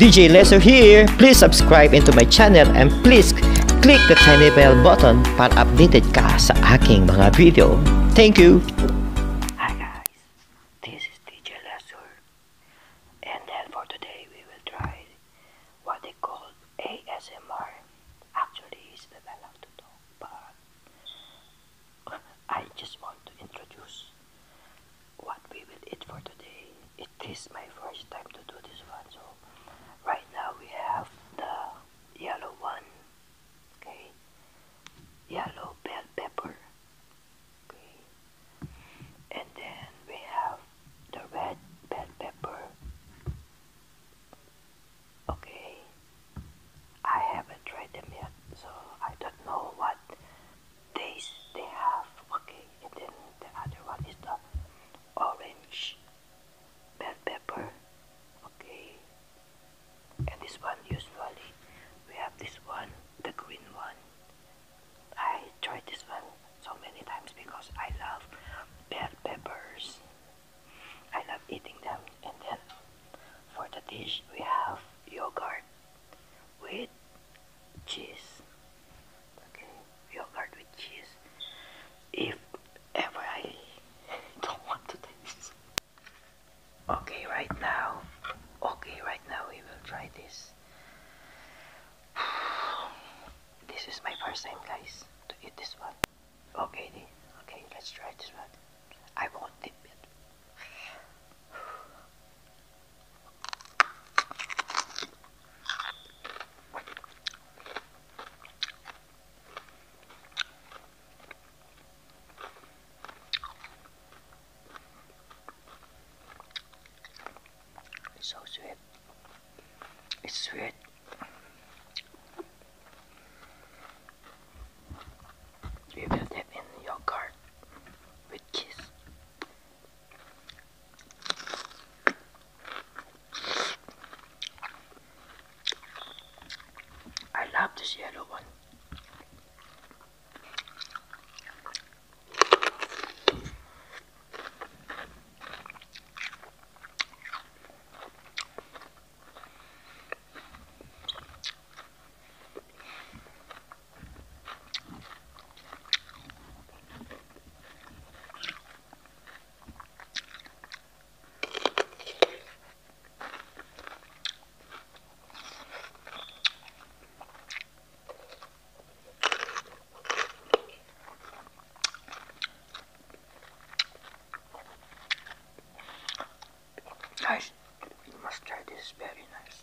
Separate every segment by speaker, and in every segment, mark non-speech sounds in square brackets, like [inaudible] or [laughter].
Speaker 1: DJ Laser here. Please subscribe into my channel and please click the tiny bell button for updated ka sa aking mga video. Thank you. Hi guys. This is DJ Laser. And then for today we will try what they call ASMR. Actually, it's not to talk, but [laughs] I just want to introduce what we will eat for today. It is my first time to do this one, so right now we have the yellow one, okay, yellow bell pepper, okay, and then we have the red bell pepper, okay. I haven't tried them yet, so I don't know what this they have. Okay, and then the other one is the orange bell pepper. Okay, and this one usually we have this one, the green one. I tried this one so many times because I love bell peppers. I love eating them. And then for the dish we have yogurt with cheese. Okay, yogurt with cheese. If ever I [laughs] don't want to Okay, right now. Okay, right now we will try this. [sighs] This is my first time, guys, to eat this one. Okay, okay, let's try this one. I won't dip it. It's so sweet. It's sweet. You will tap in your card with kiss. I love this yellow one. Guys, you must try this, very nice.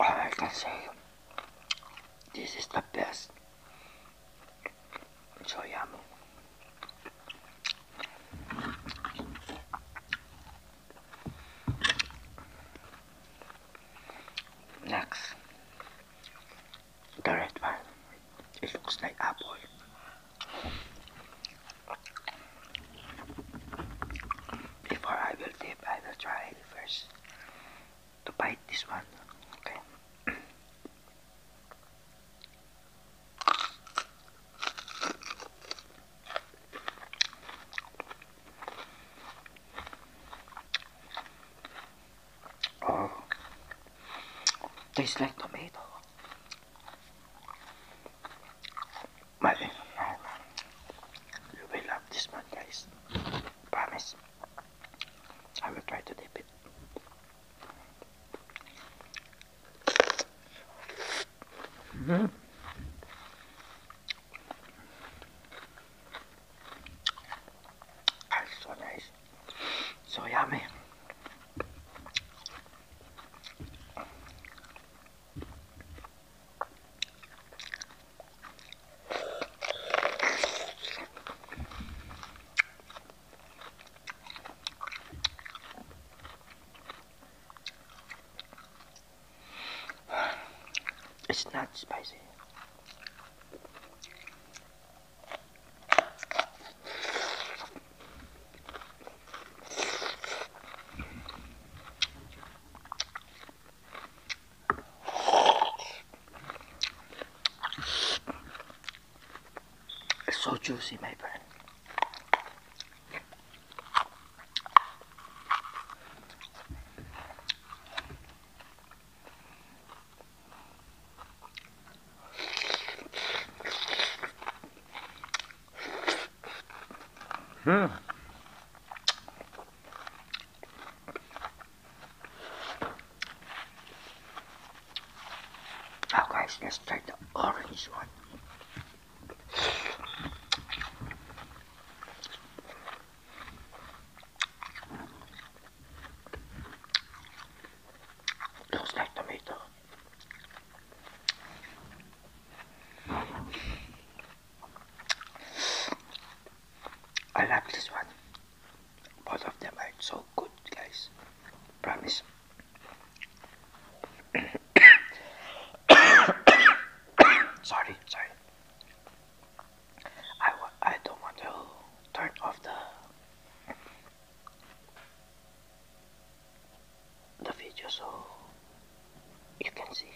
Speaker 1: I can say this is the best soyamu. Next, the red one. It looks like apple. Before I will dip, I will try first to bite this one. Okay. oh, tastes like tomato. Mother, you will love this one, guys. Promise. I will try to dip it. -hmm. That's so nice. So yummy. It's not spicy. It's so juicy, my friend. Hmm. Now oh, guys, let's try the orange one. Looks like tomato. I love this one. Both of them are so good, guys. Promise. [coughs] sorry, sorry. I w I don't want to turn off the the video so you can see.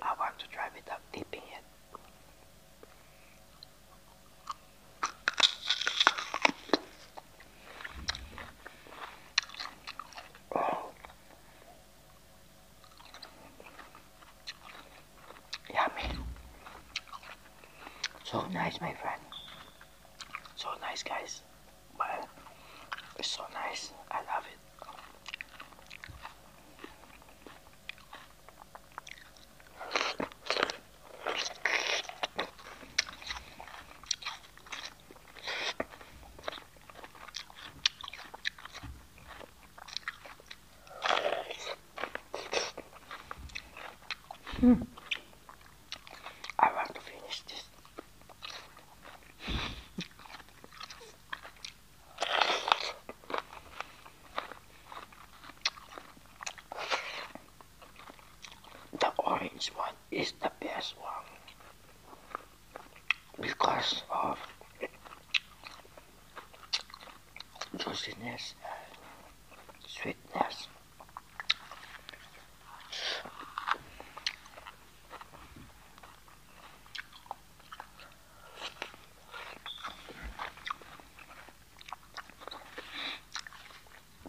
Speaker 1: I want to try without dipping it. Oh. Yummy. So nice, my friend. So nice, guys. But it's so nice. I love it. Hmm. I want to finish this. The orange one is the best one because of juiciness and sweetness.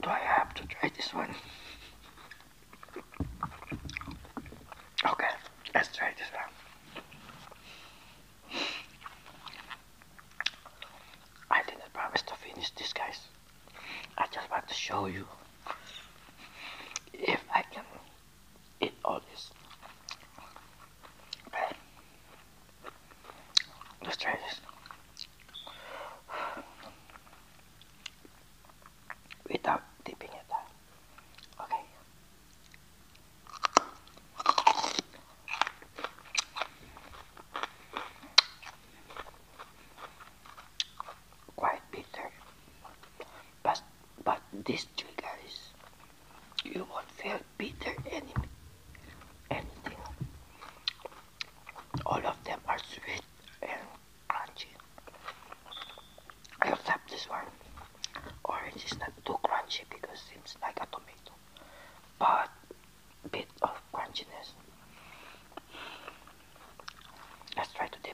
Speaker 1: Do I have to try this one? Okay, let's try this one. I didn't promise to finish this, guys. I just want to show you if I can eat all this. let's try this. Without dipping it down. Okay quite bitter. But, but this trigger is you won't feel bitter any, anything. All of them are sweet and crunchy. I this one. Orange is not too crunchy because seems like a tomato. But bit of crunchiness. Let's try to dip.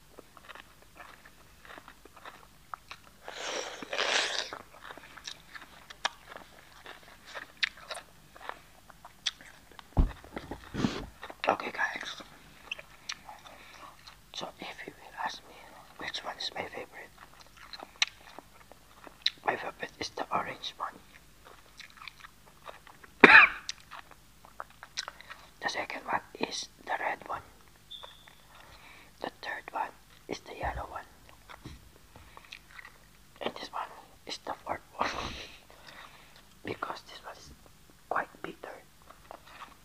Speaker 1: Okay guys, so if you will ask me which one is my favorite, my favorite is the orange one. [coughs] the second one is the red one. The third one is the yellow one. And this one is the fourth one. [laughs] because this one is quite bitter.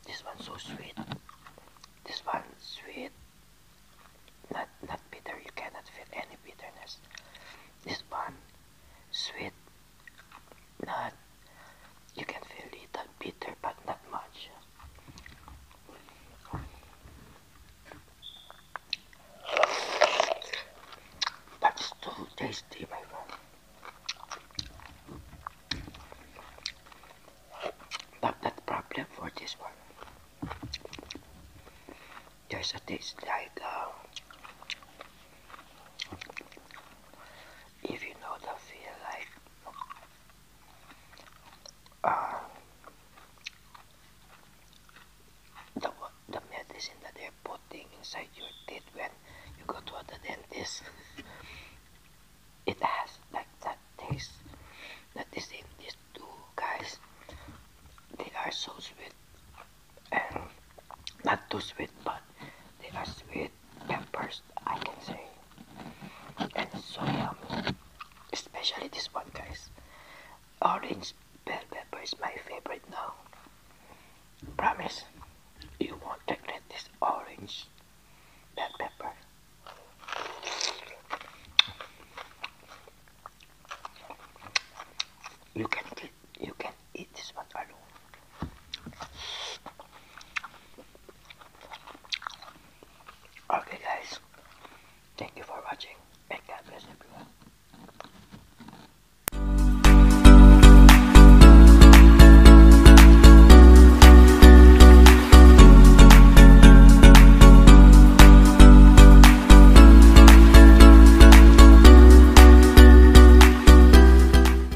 Speaker 1: This one so sweet. This one sweet. Not not bitter, you cannot feel any bitterness. This one sweet not you can feel a little bitter but not much that's too tasty my friend but that problem for this one there's a taste like uh, if you know the feel like Ah. the, the medicine that they're putting inside your teeth when you go to other dentists, [laughs] it has like that taste that is in these two guys. They are so sweet and not too sweet, but they are sweet peppers, I can say. And so yummy. Especially this one, guys. Orange bell pepper is my favorite now. Promise, you won't regret this orange bell pepper. You can eat. you can eat this one alone. Okay, guys, thank you for watching, and God bless